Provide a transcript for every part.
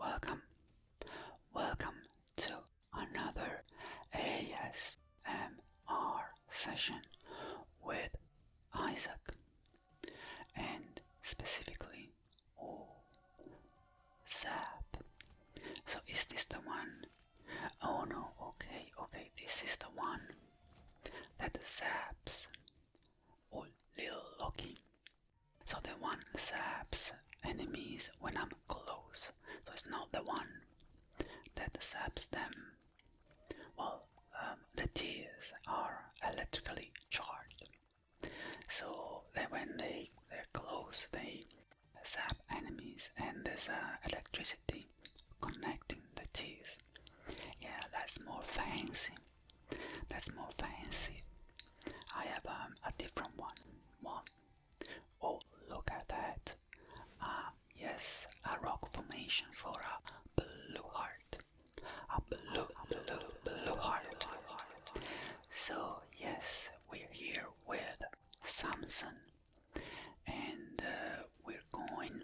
Welcome, welcome to another ASMR session with Isaac, and specifically, oh, Zap. So, is this the one? Oh no, okay, okay, this is the one that zaps, oh, little lucky. So the one saps enemies when I'm close. So it's not the one that saps them. Well, um, the tears are electrically charged. So that when they, they're close, they sap enemies and there's uh, electricity connecting the tears. Yeah, that's more fancy. That's more fancy. I have um, a different one. One. Oh, look at that. Ah, yes, a rock formation for a blue heart. A blue, blue, blue heart. So, yes, we're here with Samson. And uh, we're going,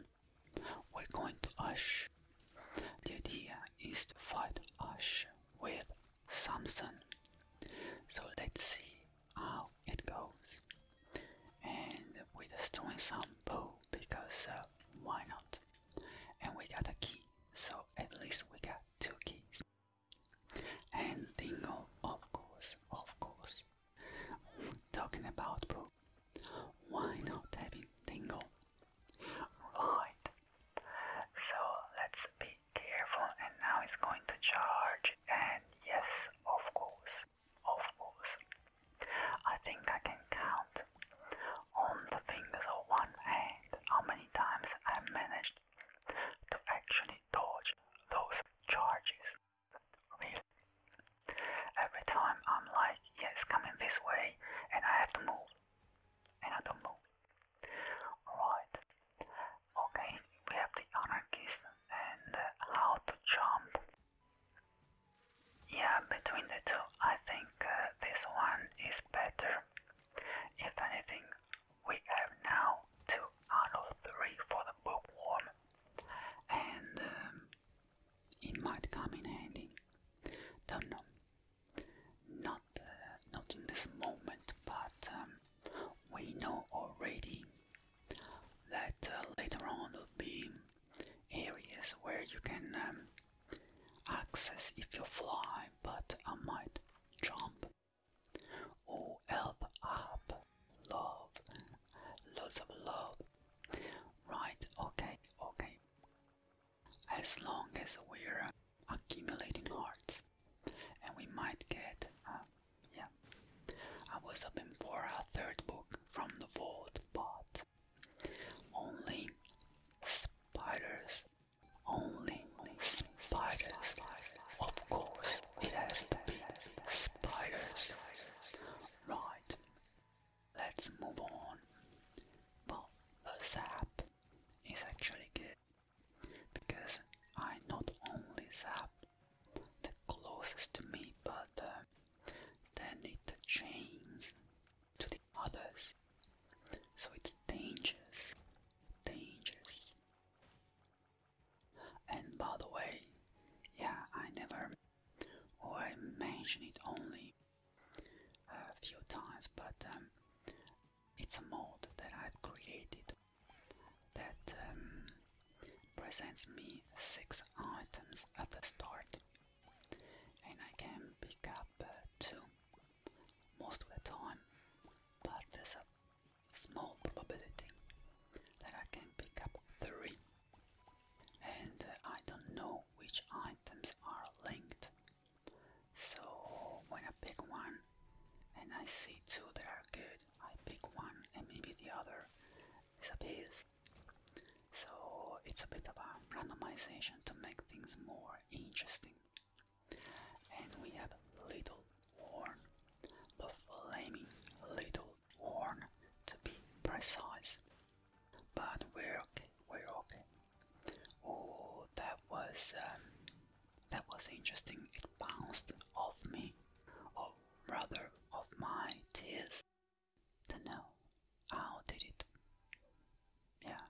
we're going to Ush the idea is to fight Ash with Samson. So let's see how it goes. And we're just doing some poo because uh, why not? And we got a key, so at least we got two keys. And Dingo, of course, of course. Talking about poo, why not having Dingo? Right, so let's be careful and now it's going to charge and yes, of course, of course. I think I can count on the fingers of one hand how many times I managed to actually dodge those charges. Really. Every time I'm like, yes, coming this way and I have to move and I have to move. Alright. Okay, we have the anarchist and uh, how to jump. Yeah, between the two, I think uh, this one is better. If anything, we have now two out of three for the bookworm, and um, it might come in handy. Don't know. Not, uh, not in this moment, but um, we know already that uh, later on will be areas where you can um, access if you fly, but I might jump. or help up, love, lots of love. Right, okay, okay as long as we're uh, accumulating hearts and we might get uh, yeah i was hoping for a third book from the vault but only spiders only spiders of course it has to be spiders right let's move on well the sap is actually good because I not only zap the closest to me but uh, then it chains to the others. So it's dangerous. Dangerous. And by the way, yeah, I never, or I mention it only a few times, but um, it's a mod that I've created that um, presents me six items at the start, and I can pick up uh, two most of the time, but there's a small probability that I can pick up three, and uh, I don't know which items are linked so when I pick one and I see two that are good, I pick one and maybe the other is a piece. So it's a bit of a randomization to make things more interesting. And we have Little Horn, flaming Little Horn to be precise. But we're okay, we're okay, Oh, that was um, that was interesting. It bounced off me, or oh, rather, off my tears. do know how did it. Yeah,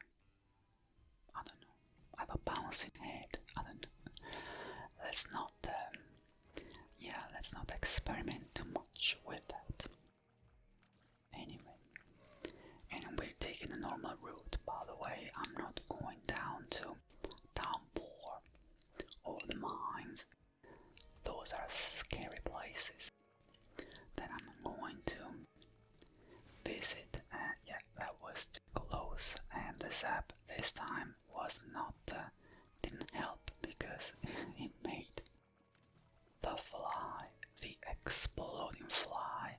I don't know. I have bouncing head. I don't. Know. Let's not. Um, yeah, let's not experiment too much with that anyway. And we're taking the normal route, by the way. I'm not going down to Downpour or the mines. Those are scary places that I'm going to visit. Uh, yeah, that was too close, and the zap this time was not uh, didn't help because it made the fly, the exploding fly,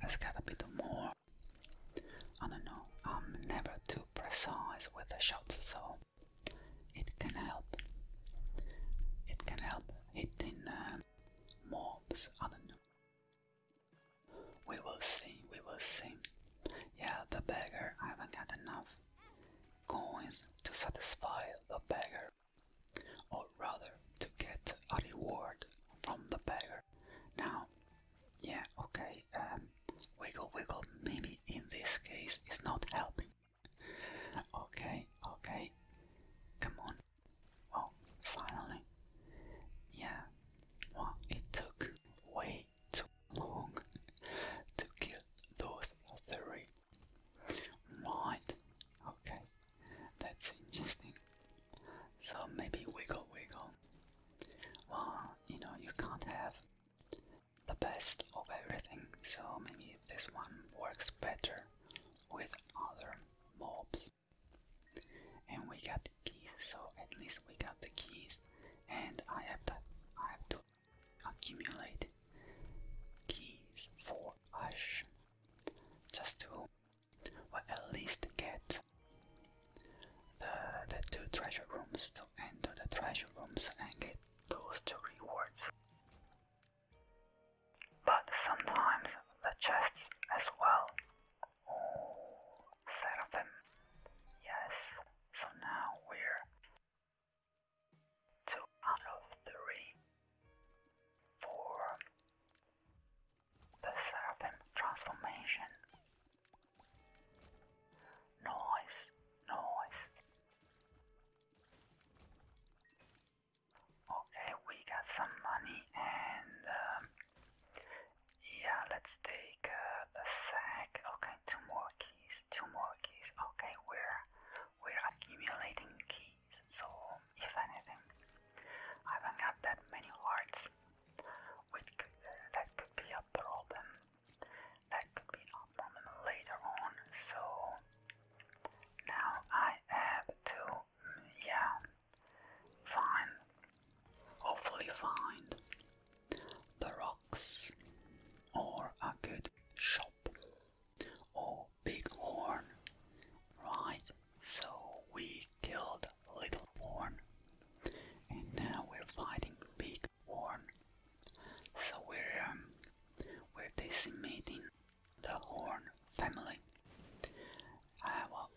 there's gotta be the more. I don't know, I'm never too precise with the shots, so it can help. It can help hitting uh, mobs, I don't know. We will see, we will see. Yeah, the beggar, I haven't got enough coins to satisfy the beggar or rather to get a reward from the beggar. Now, yeah, okay, um, wiggle wiggle maybe in this case is not helping. Okay, okay, come on. Oh, finally. Yeah, well, it took way too long to kill those three. Right, okay. That's interesting. So maybe wiggle wiggle. Well, you know, you can't have the best of everything, so maybe this one works better with other mobs. And we got the keys, so at least we got the keys, and I have to, I have to accumulate keys for Ash just to or at least get the, the two treasure rooms to enter the treasure rooms and get those two rewards. But sometimes the chests as well. Oh, Seraphim. Yes. So now we're two out of three for the Seraphim transformation. Noise, noise. Okay, we got some money and um, yeah, let's take the uh, sack. Okay, two more keys, two more keys. Okay, we're we're accumulating keys, so if anything, I haven't got that many hearts, which could, that could be a problem. That could be a problem later on. So now I have to, yeah, find, hopefully find the rocks or a good shop or oh, big horn right so we killed Little Horn, and now we're fighting Big Horn. So we're um, we're decimating the Horn family. Ah, well,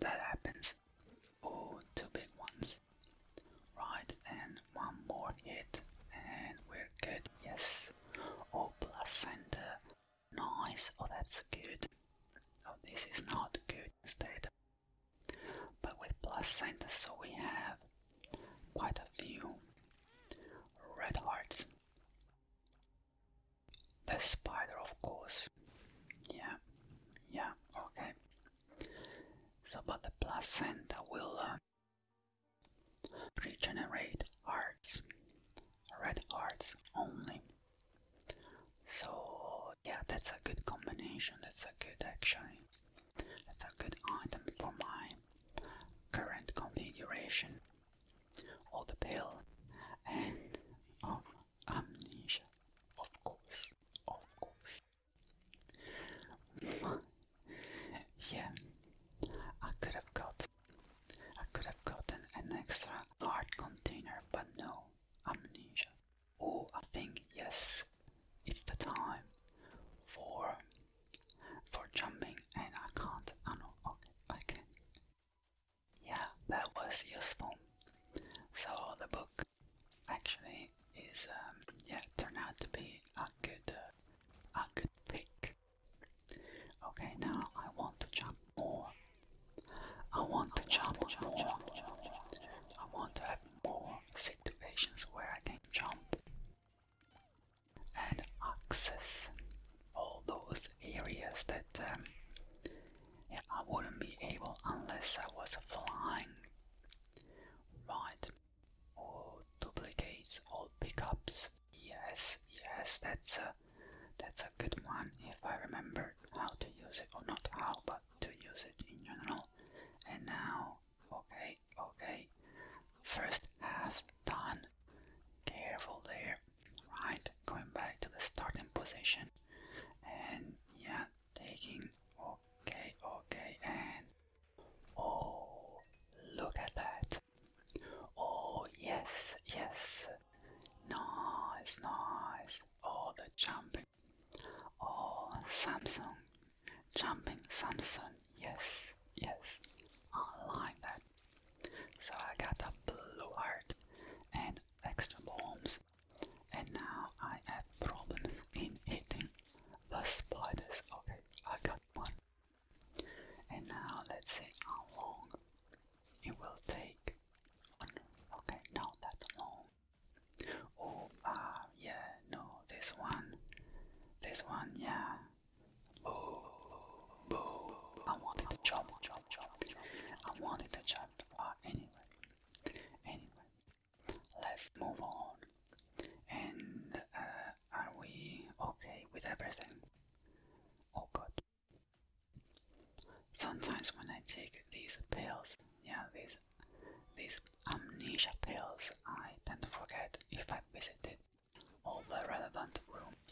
that happens. Oh, two big ones. Right, and one more hit, and we're good. Yes. Oh, placenta Nice, oh that's good. Oh, this is not good instead. But with placenta, so we have quite a few red hearts. The spider, of course. Yeah, yeah, okay. So, but the placenta will uh, regenerate hearts, red hearts only. So yeah, that's a good combination. That's a good actually. That's a good item for my current configuration. of the pill and of um, amnesia, of course, of course. yeah, I could have got I could have gotten an extra hard container, but no, amnesia. Oh, I think, yes, it's the time for for jumping and I can't, I know, okay, I Yeah, that was useful. So the book actually is, um, yeah, turned out to be a good, uh, a good pick. Okay, now I want to jump more. I want to jump more. I want to have more situations where I can jump and access all those areas that um, yeah, I wouldn't be able unless I was flying. Right, all duplicates, all pickups. Yes, yes, that's uh, that's a good one if I remember how to use it, or not how, but to use it in general. And now, okay, okay, first half done. Careful there, right? Going back to the starting position, and yeah, taking okay, okay, and oh, look at that. Oh, yes, yes, Nice, nice. All the jumping. All Samsung. Jumping Samsung. Yes, yes. I like that. So I got a blue heart and extra bombs. And now I have problems in eating the spiders. Okay, I got one. And now let's see how long it will take okay not that long oh ah yeah no this one this one yeah boo boo I wanted to jump jump jump I wanted to jump but ah, anyway anyway let's move on and uh, are we okay with everything? Oh good Sometimes when I take these pills, yeah, these these amnesia pills, I tend to forget if I visited all the relevant rooms.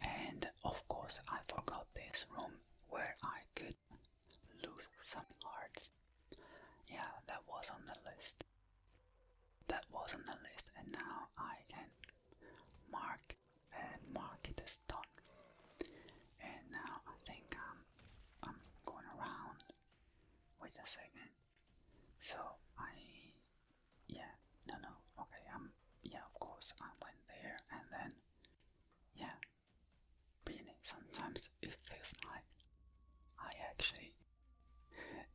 And of course, I forgot this room where I could lose some hearts. Yeah, that was on the list. That was on the list, and now I can mark and mark it as done. And now I think um, I'm going around. Wait a second. So I, yeah, no, no, okay, um, yeah, of course, I went there and then, yeah, really, sometimes it feels like I actually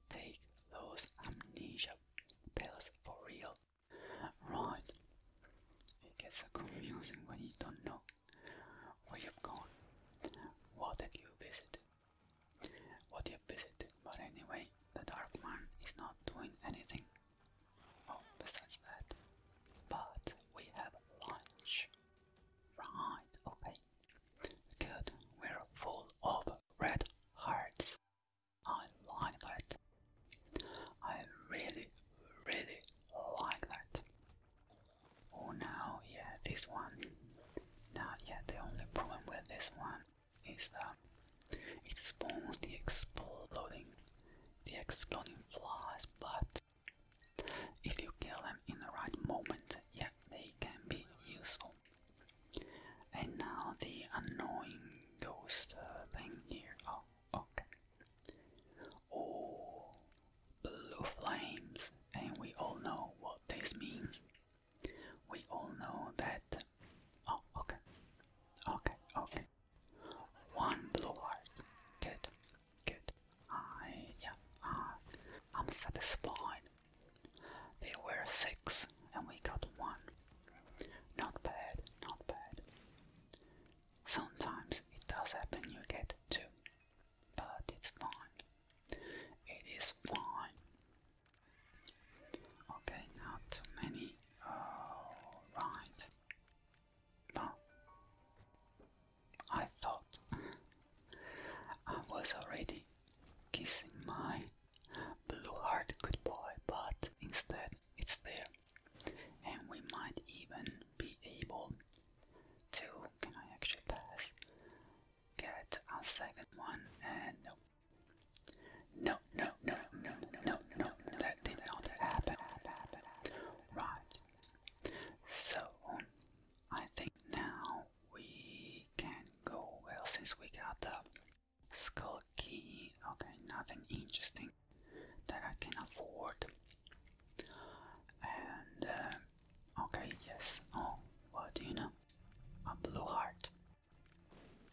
take those amnesia pills for real. Right. It gets confusing when you don't know where you've gone, what did you visit, what you visited. But anyway, the Dark Man is not doing anything. Oh, besides that. But we have lunch. Right, okay. Good, we're full of red hearts. I like that. I really, really like that. Oh, now, yeah, this one. Now, yeah, the only problem with this one is that it spawns the exploding, the exploding flies, but if you kill them in the right moment, yeah, they can be useful. And now the annoying ghost uh, thing here. Oh, okay. Oh, blue flames, and we all know what this means. We all know that. Oh, okay. Okay, okay. One blue heart. Good, good. I, yeah, I, uh, I'm satisfied. There were six, and we got one. Not bad, not bad. Sometimes it does happen you get two, but it's fine. It is fine. Okay, not too many. Alright. Well, I thought I was already kissing my blue heart goodbye, but instead it's there and we might even be able to. Can I actually pass? Get a second one and no. No, no, no, no, no, no, no, that did not happen. Right. So, I think now we can go, well, since we got the skull key, okay, nothing interesting that I can afford. And uh, okay, yes. Oh, what do you know? A blue heart.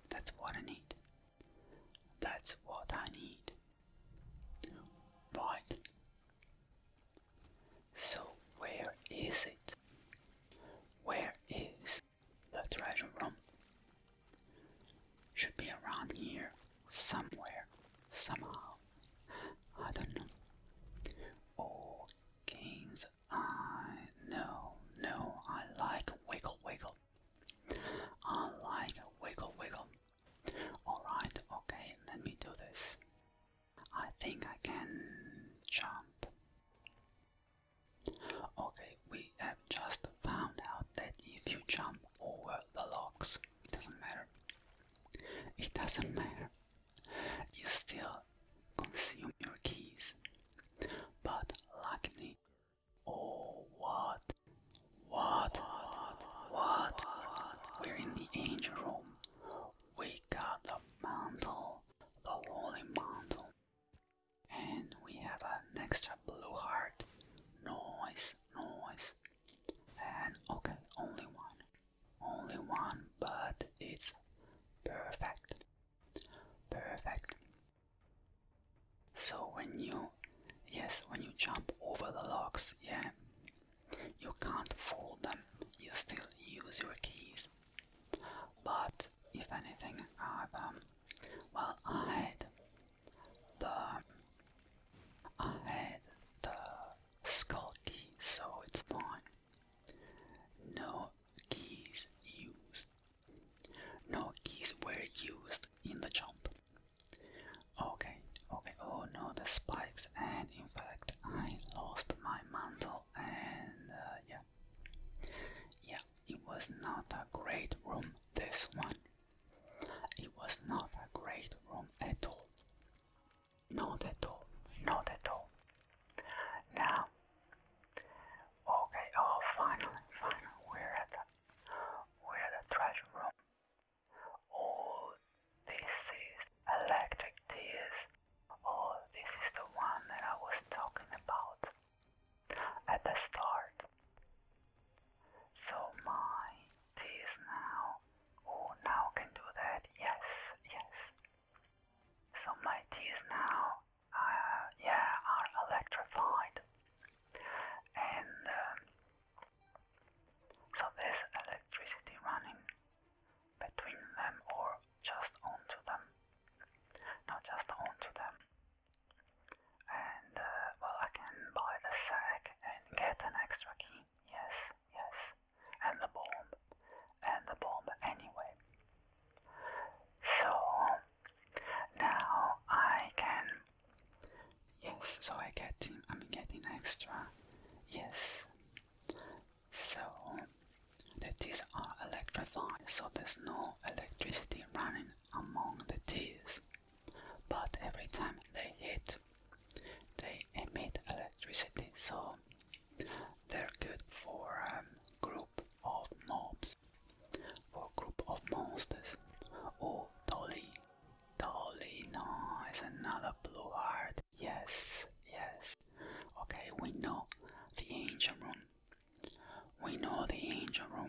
That's what I need. That's what I need. But So, where is it? Where is the treasure room? Should be around here somewhere, somehow. I don't know. Oh, King's Eye. No, no, I like Wiggle Wiggle. I like Wiggle Wiggle. Alright, okay, let me do this. I think I can jump. Okay, we have just found out that if you jump over the logs, it doesn't matter. It doesn't matter. You still consume your keys. But luckily, oh what, what, what? We're in the angel room. We got the mantle, the holy mantle, and we have an extra blue heart. Noise, noise, and okay, only one. Only one, but it's perfect. Perfect. So when you, yes, when you jump over the locks, yeah, you can't fool them. You still use your keys. But if anything, i um, well, I would the I had the skull key, so it's mine. No keys used. No keys were used in the jump. Okay, okay. Oh no, the spikes, and in fact, I lost my mantle, and uh, yeah, yeah. It was not a great room. This one. It was not a great room at all. Not at all. Not at all. Now, okay, oh, finally, finally, we're at we're at the treasure room. Oh, this is electric tears. Oh, this is the one that I was talking about at the start. So my this now. Oh, now can do that. Yes, yes. So my teeth now, uh, yeah, are electrified. And um, so there's electricity running between them or just onto them. Not just onto them and uh, well I can buy the sack and get an extra key, yes, yes, and the bomb, and the bomb anyway. So, now I can, yes, so I get him, I'm getting extra, yes. So, the teeth are electrified, so there's no electricity running among the teeth but every time they hit, they emit electricity, so they're good for a um, group of mobs, for a group of monsters. Oh, Dolly. Dolly, no, it's another blue heart. Yes, yes. Okay, we know the angel room. We know the angel room.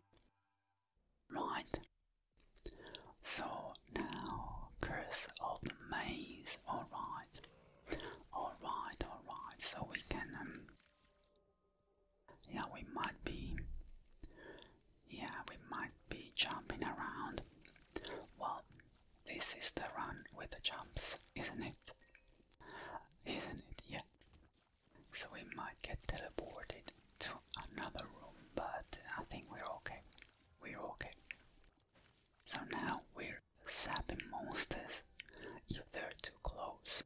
Right. So now, Curse of the Maze. Alright. Alright, alright. So we can. Um, yeah, we might be. Yeah, we might be jumping around. Well, this is the run with the jumps, isn't it? Isn't it? Yeah. So we might get teleported to another room, but I think we're okay. We're okay. So now we're sapping monsters if they're too close.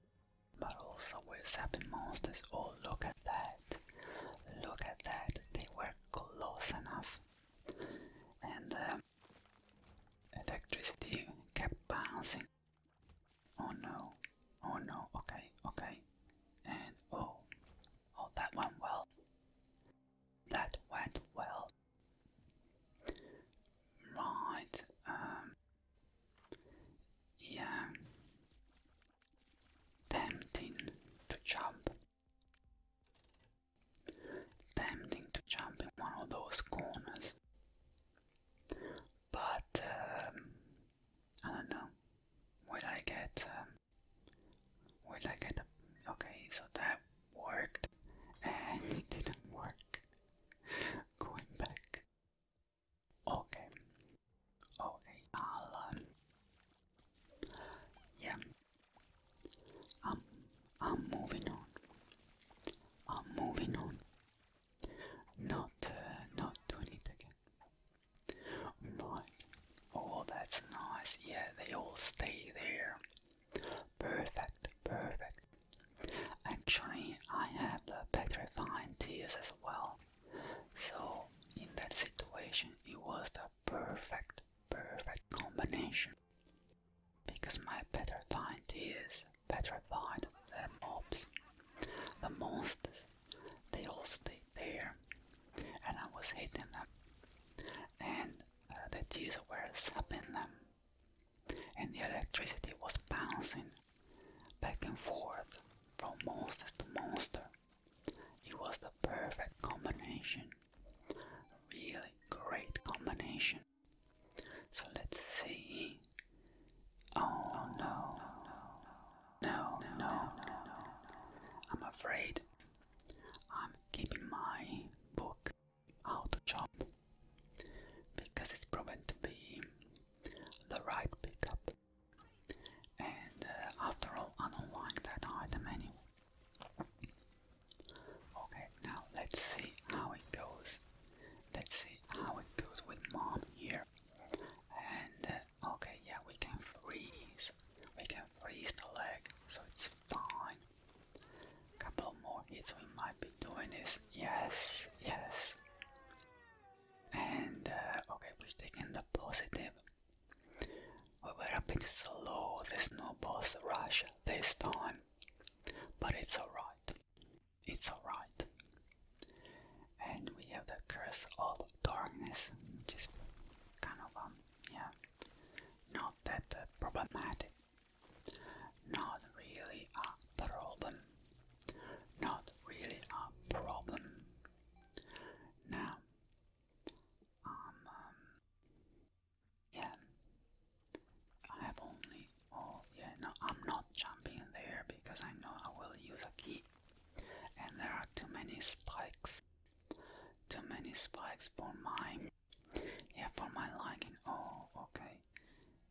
But also we're sapping monsters. Oh, look at that. Look at that. They were close enough. And um, electricity kept bouncing. Oh no. Oh no. Okay, okay and oh, oh, that went well. That went well. Right, um, yeah, tempting to jump. Tempting to jump in one of those corners, but um, I don't know. Will I get um, Will like get a. Okay, so that worked. And it didn't work. Going back. Okay. Okay, i yeah. I'm, I'm moving on. I'm moving on. Not, uh, not doing it again oh, that's nice. Yeah, they all stay there. Perfect, perfect. Actually, I have the petrifying tears as well. So, in that situation, it was the perfect, perfect combination. Because my petrifying tears petrified the mobs, the monsters. They all stay there and I was hitting them and uh, the teeth were sapping them and the electricity was bouncing back and forth from monster to monster. It was the perfect combination. Really great combination. So let's see. Oh no. No, no, no. no, no, no. I'm afraid I'm keeping my book out of job because it's proven to be the right pickup. And uh, after all, I don't like that item anyway. Okay, now let's see how it goes. Let's see how it goes with mom here. And uh, Okay, yeah, we can freeze. We can freeze the leg, so it's fine. Couple more hits, we might be doing this. Yes, yes. And uh, okay, we are taking the positive. We were a bit slow. There's no boss rush this time, but it's alright. It's alright. And we have the curse of darkness, which is kind of um, yeah, not that uh, problematic, not really a problem, not really a problem. Now, um, um yeah, I have only, oh yeah, no, I'm not jumping there because I know I will use a key, and there are too many spikes. Too many spikes for my, Yeah, for my liking. Oh, okay.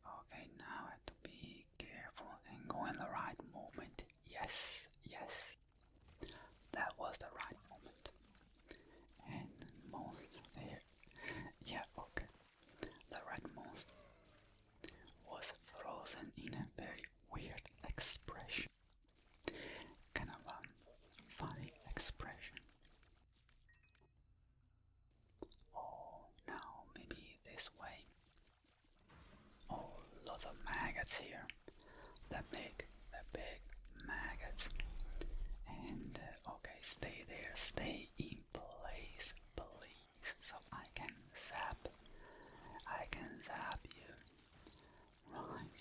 Okay, now I have to be careful and go in the right moment. Yes, yes. That was the right moment. And most there. Yeah, okay. The right rightmost was frozen in a very weird expression. Kind of a um, funny expression. Oh, now maybe this way. Oh, lots of maggots here. The big, the big maggots. And uh, okay, stay there, stay in place, please, so I can zap. I can zap you. Right.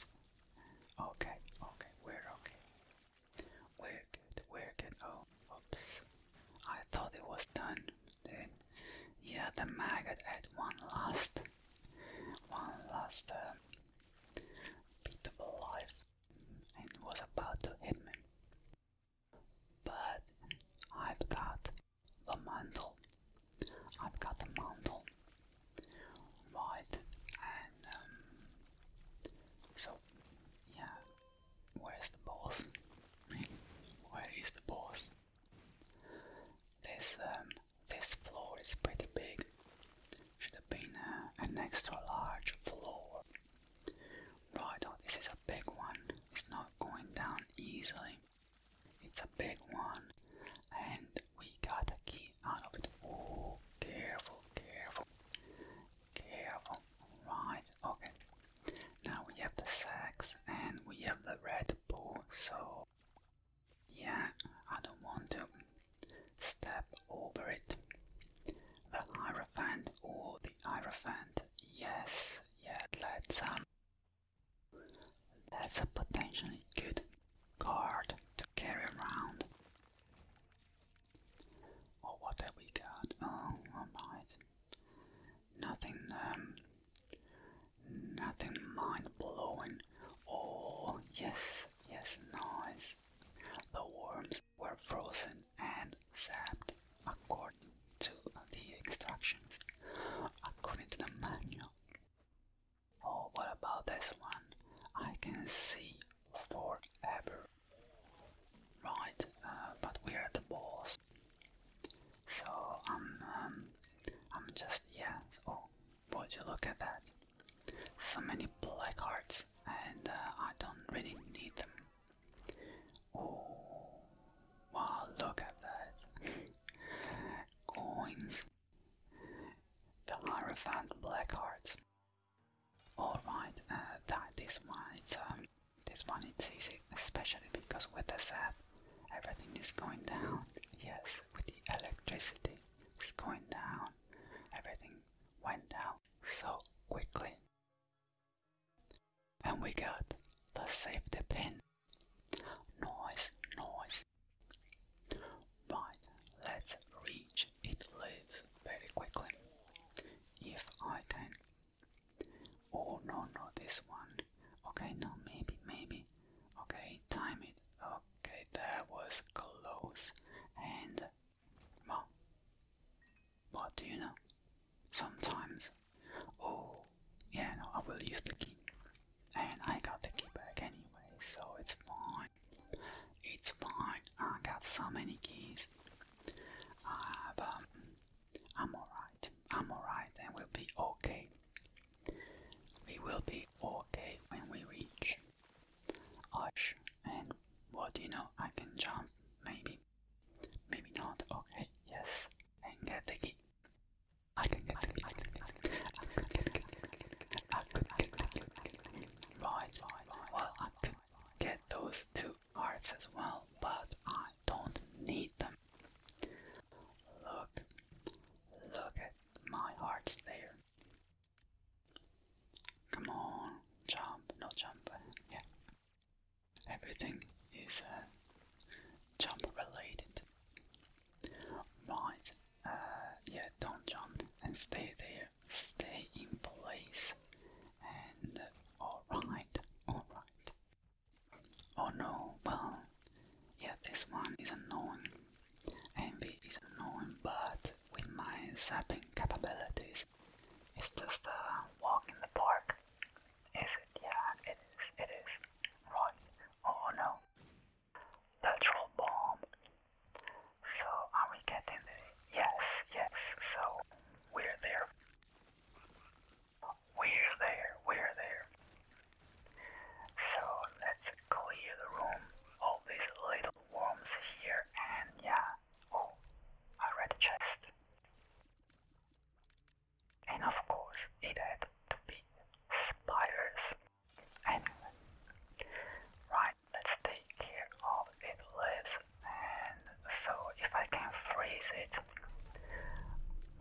Okay, okay, we're okay. We're good, we're good. Oh, oops. I thought it was done. Then, yeah, the maggot had one last, one last uh, beatable life and was about to hit me. But I've got the mandel. I've got the mantle, white, and um, so yeah. Where's the boss? Where is the boss? This um, this floor is pretty big. Should have been uh, an extra large floor. Right, oh, this is a big one. It's not going down easily. It's a big one, and we got a key out it. Oh, careful, careful, careful. Right, okay. Now we have the sacks and we have the red bull, so yeah, I don't want to step over it. The Hierophant, oh, the Hierophant, yes, yeah, let's um, that's a potentially good card to carry around. Or oh, what have we got? Oh, alright. Nothing, um, nothing mind blowing. Oh, yes, yes, nice. The worms were frozen and zapped according to the instructions, according to the manual. Oh, what about this one? I can see forever. Right, uh, but we're at the boss, so I'm, um, um, I'm just yeah. Oh, would you look at that? So many black hearts, and uh, I don't really need them. Oh, wow! Look at that. Coins. The Hierophant Blackheart. Alright, uh, that, this one it's um, this one it's easy, especially because with the zap everything is going down. Yes, with the electricity it's going down. Everything went down so quickly. And we got the safety pin. Noise, noise, Right, let's reach it lives very quickly. If I can. Oh no no this one. Okay no maybe maybe. Okay time it. Okay that was close and well what do you know? Sometimes oh yeah no I will use the key and I got the key back anyway so it's fine. It's fine. I got so many keys. Uh, but I'm alright. I'm alright and we'll be okay. We will be okay when we reach Osh. And what do you know? I can jump. Maybe. Maybe not. Okay. Yes. And get the key. I can get the key. I could get right, well, I could get those two arts as well, but I don't need them. Look, look at my hearts there. Come on, jump, no jump, yeah. Everything is uh, jump related. Right, uh, yeah, don't jump and stay there. Stay in place. And uh, alright, alright. Oh no, well, yeah, this one is annoying. Envy is annoying, but with my zapping capabilities, it's just a walk in the park. Is it? Yeah, it is, it is. Right. Oh no natural bomb. So are we getting the yes, yes, so we're there. We're there, we're there. So let's clear the room. All these little worms here and yeah. Oh, I read a chest. And of course it had to be spiders. Anyway. Right, let's take care of its lips and so if I can freeze it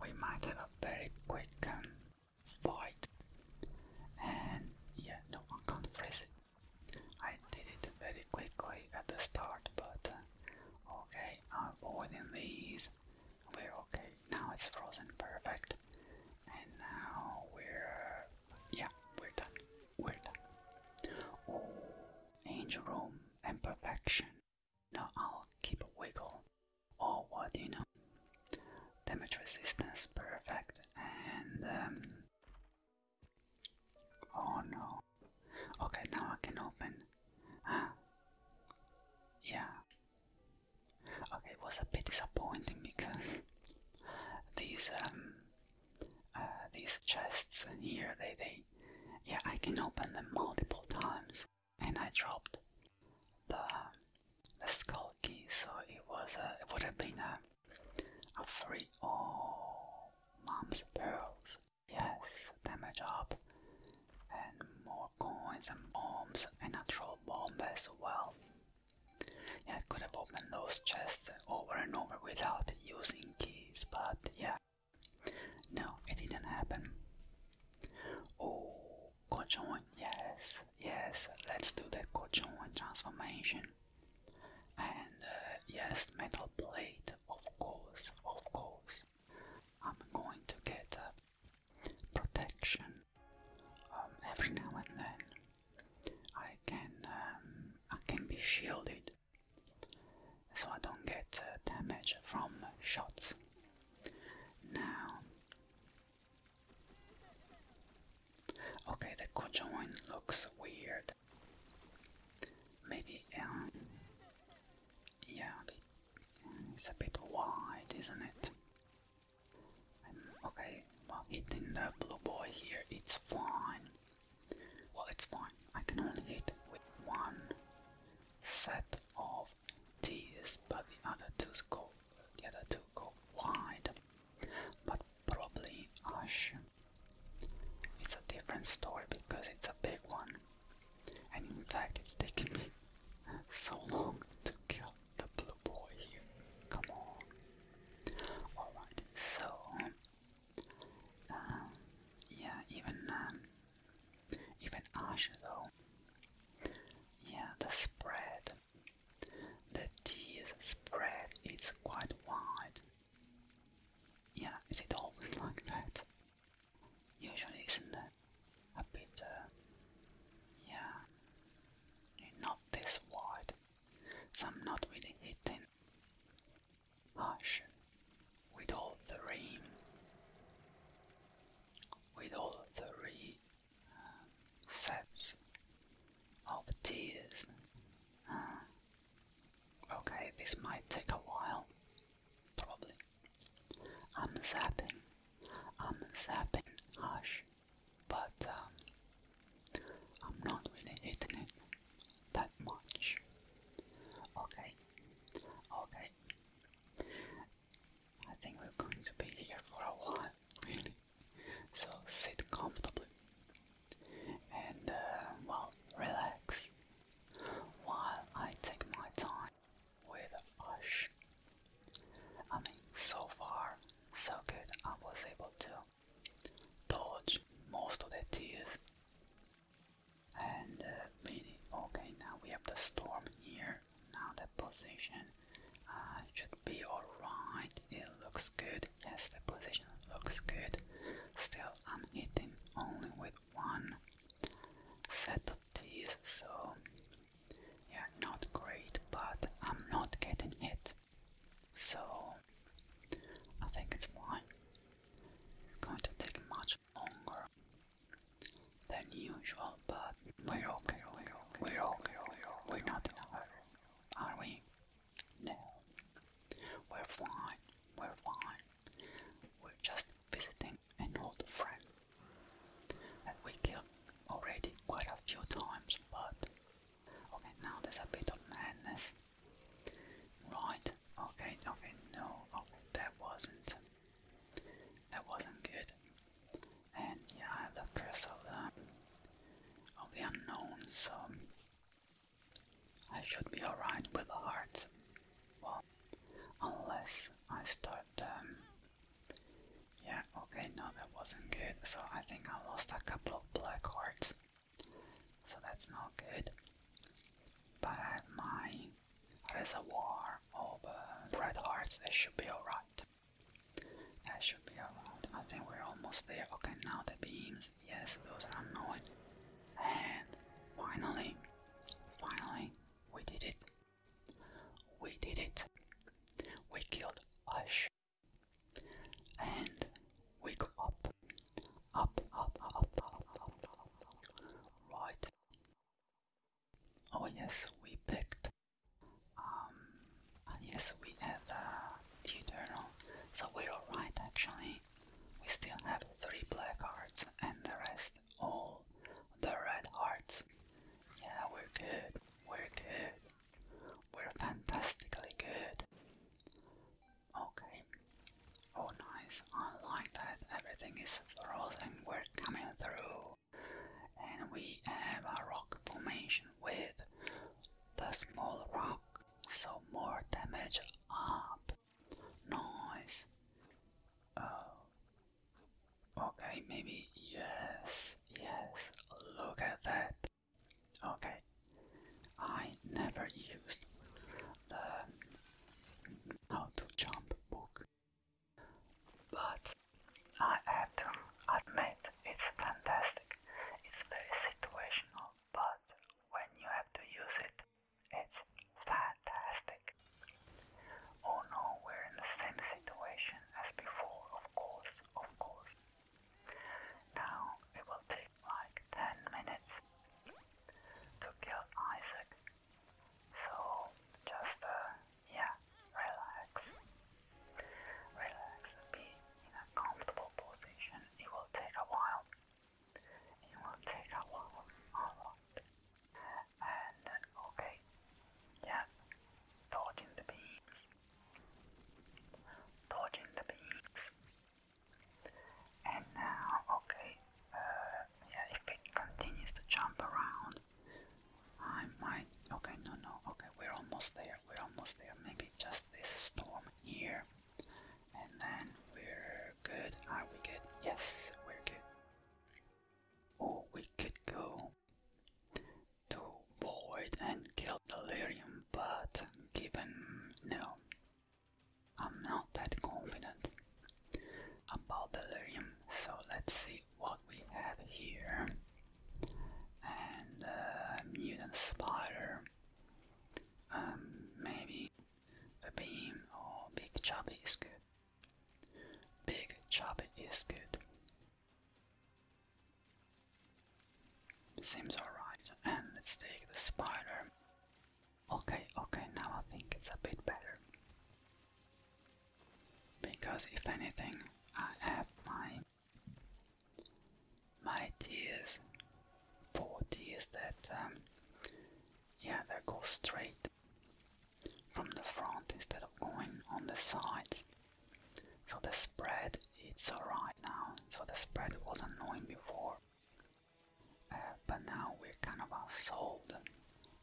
we might have a very quick um, fight. And yeah, no, one can't freeze it. I did it very quickly at the start, but uh, okay, avoiding these. We're okay. Now it's frozen, perfect. And now we're, yeah, we're done. We're done. Oh, angel room and perfection. Now I'll keep a wiggle. Oh, what you know? Damage resistance, perfect. And, um, oh no. Okay, now I can open. Ah, yeah it was a bit disappointing because these um, uh, these chests here, they they yeah, I can open them multiple times, and I dropped the the skull key, so it was a, it would have been a a free oh mom's pearls. Yes, damage up and more coins and bombs and a troll bomb as well. I could have opened those chests over and over without using keys, but yeah. No, it didn't happen. Oh, Kochon, yes, yes, let's do the Kochon transformation. And uh, yes, metal plate, of course, of course. I'm going to get uh, protection um, every now and then I can um, I can be shielded so I don't get uh, damage from shots. Now, okay, the Kojoin looks weird. Maybe, um, yeah, it's a bit wide, isn't it? okay, well, hitting the blue boy here, it's fine. Well, it's fine. I can only hit with one set of these, but the other two go, the other two go wide. But probably Ash. It's a different story because it's a big one, and in fact, it's taking me so long to kill the blue boy here. Come on. Alright, so. Um, yeah, even. Um, even Ash though. Yeah, the spread. The tease spread is quite wide. Yeah, is it always like that? Usually isn't it? A bit, uh, yeah, not this wide so I'm not really hitting harsh with all the rain, with all the re um, sets of tears. Ah, okay, this might take a while, probably. I'm zapping, I'm zapping harsh but um, I'm not really hitting that much. Okay, okay. I think we're going to be here for a while, really. So sit comfortably and uh, well, relax while I take my time with Ash. I mean, so far so good I was able to dodge most of the tears. And uh, really, okay, now we have the storm here. Now the position uh, should be alright. It looks good. Yes, the position looks good. Still, I'm hitting only with one set of tears, so yeah, not great, but I'm not getting hit. So I think it's why going to take much longer than usual, but we're okay, we're okay, we're okay, we're, okay. we're not in are we? No, we're fine, we're fine, we're just visiting an old friend that we killed already quite a few times, but Okay, now there's a bit of madness. Right, okay, okay, no, okay, that wasn't, that wasn't good. And yeah, I have the of the, of the unknown, so I should be alright with the hearts. Well, unless I start um, yeah, okay, no, that wasn't good. So I think I lost a couple of black hearts. So that's not good. But I have my reservoir of uh, red hearts. it should be alright. It should be alright. I think we're almost there. Okay, now the beams. Yes, those are annoying. And finally, finally, we did it. We did it. We killed Ush and we go up, up, up, up, up, up, right. Oh yes, we picked. Um, ah, yes, we have the Eternal, so we're alright actually. We still have three black cards, and the rest all the red hearts. Yeah, we're good. We're good were fantastically good. Okay. Oh nice, I like that everything is frozen, we're coming through. And we have a rock formation with the small rock, so more damage up. Nice. Oh. Okay, maybe yes, yes, look at that. Okay, I never used the How to Jump book, but I have to admit it's fantastic. It's very situational, but when you have to use it, it's fantastic. Oh no, we're in the same situation as before, of course, of course. Now it will take like 10 minutes to kill Isaac. So just, uh, yeah, relax. Relax be in a comfortable position. It will take a while. It will take a while, And okay, yeah, dodging the beams dodging the bees. And now, okay, uh, yeah, if it continues to jump around, I might. Okay, no, no, okay, we're almost there, we're almost there. Maybe just this storm here, and then we're good. Are we good? Yes, we're good. Oh, we could go to board and kill Delirium, but given no, I'm not that confident about Delirium, so let's see what we have here. And uh, Mutant Spider, um, maybe a beam or oh, Big Choppy is good. Big Choppy is good. Seems alright. And let's take the spider. Okay, okay, now I think it's a bit better. Because if anything, I have my my tears, four tears that, um, yeah, they go straight from the front instead of going on the sides. So the spread it's alright now. So the spread was annoying before. Uh, but now we kind of solved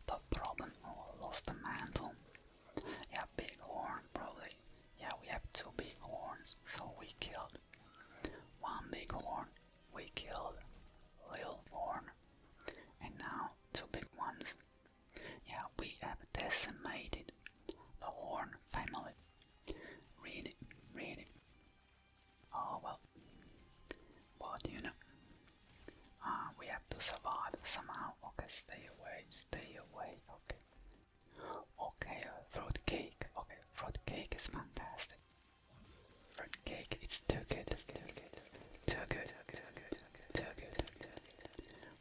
the problem or oh, lost the mantle. Yeah, big horn probably. Yeah, we have two big horns, so we killed one big horn. We killed little horn, and now two big ones. Yeah, we have decimated the horn family. Read it, read it. Oh well, what do you know? Uh, we have to survive somehow. Okay, stay away, stay away. Okay, okay. Uh, fruit cake. Okay, fruit cake is fantastic. Fruit cake, it's too good, too good, too good, too good. Too good.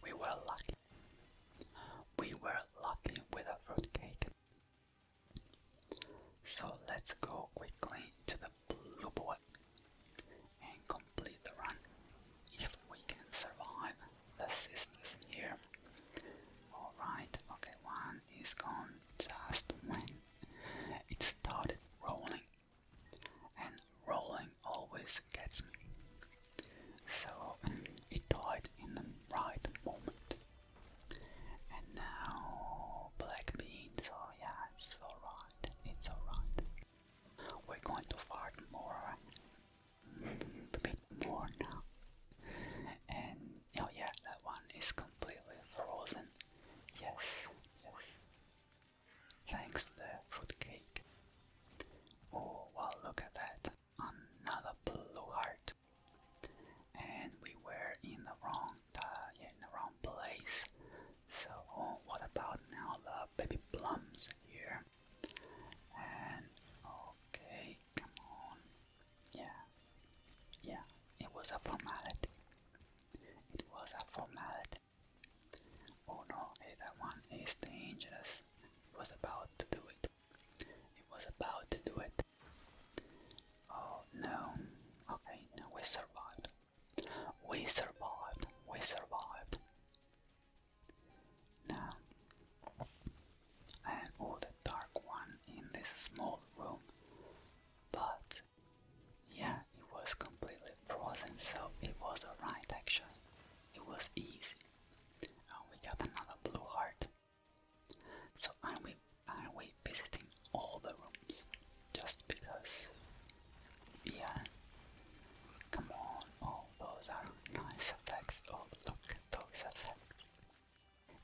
We were lucky. We were lucky with a fruitcake. So let's go quickly to the blue boy and complete the run. If we can survive the sisters here. Alright, okay, one is gone just when it started rolling. And rolling always gets me. So it died in the right moment. And now black beans, oh yeah, it's alright, it's alright. We're going to fart more, a bit more now. And oh yeah, that one is completely frozen. Yes, yes. Thanks to the fruitcake. Oh, well, look at that another blue heart. And we were in the wrong, uh, in the wrong place. So oh, what about now the baby plums here? And okay, come on, yeah, yeah. It was a formality. It was a formality. Oh no, that one is dangerous. was about to do it. It was about to do it. Oh no. Okay, we survived. We survived. We survived. Now, I all the dark one in this small room, but yeah, it was completely frozen, so it was alright actually. It was easy. And we got another blue heart. So I will be visiting all the rooms just because, yeah, come on, all those are nice effects, oh look those effects.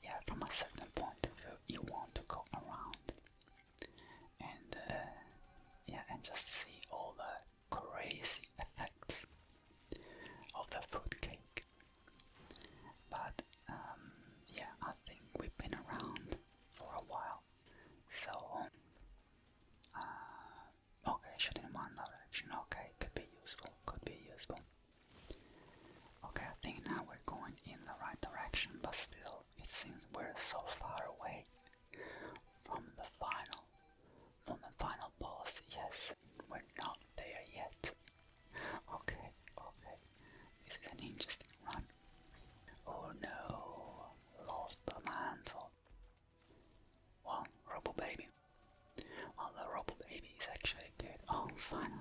Yeah, from a certain point of view, you want to go around and, uh, yeah, and just see all the crazy effects of the food cake. But um, yeah, I think we've been around for a while. So, uh, okay, shooting in one direction, okay, could be useful, could be useful. Okay, I think now we're going in the right direction, but still, it seems we're so far away from the final, from the final boss. Yes, we're not there yet okay, okay. This is an interesting one. Oh no, lost the mantle. Well, Robo Baby. Well, the Robo Baby is actually good. Oh, fine,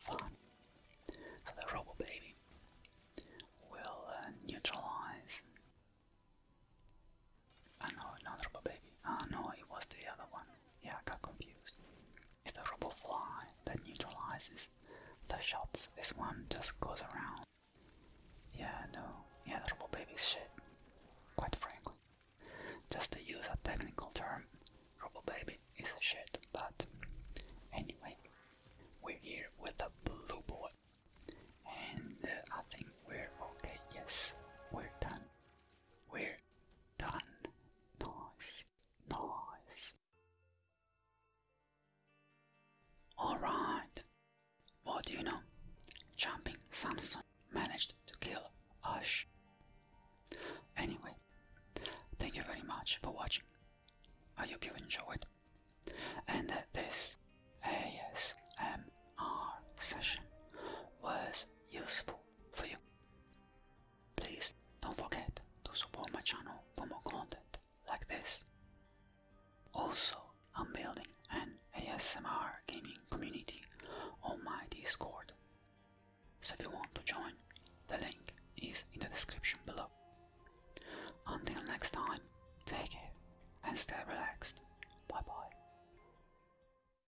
fine. So the Robo Baby will uh, neutralize I know, ah, not robot Baby. Ah no, it was the other one. Yeah, I got confused. It's the robot Fly that neutralizes the shots. This one just goes around. Yeah, no. Yeah, robot Baby is shit. Quite frankly. Just to use a technical term, robot Baby is a shit, but anyway, we're here with the blue boy. And uh, I think we're okay. Yes, we're done. We're Done. Nice. Nice. Alright. What do you know? Jumping Samson managed to kill Ash. Anyway, thank you very much for watching. I hope you enjoyed. And this ASMR session was useful for you. Please don't forget to support my channel for more content like this. Also, I'm building an ASMR gaming community on my Discord. So if you want to join, the link is in the description below. Until next time, take care and stay relaxed. Bye bye.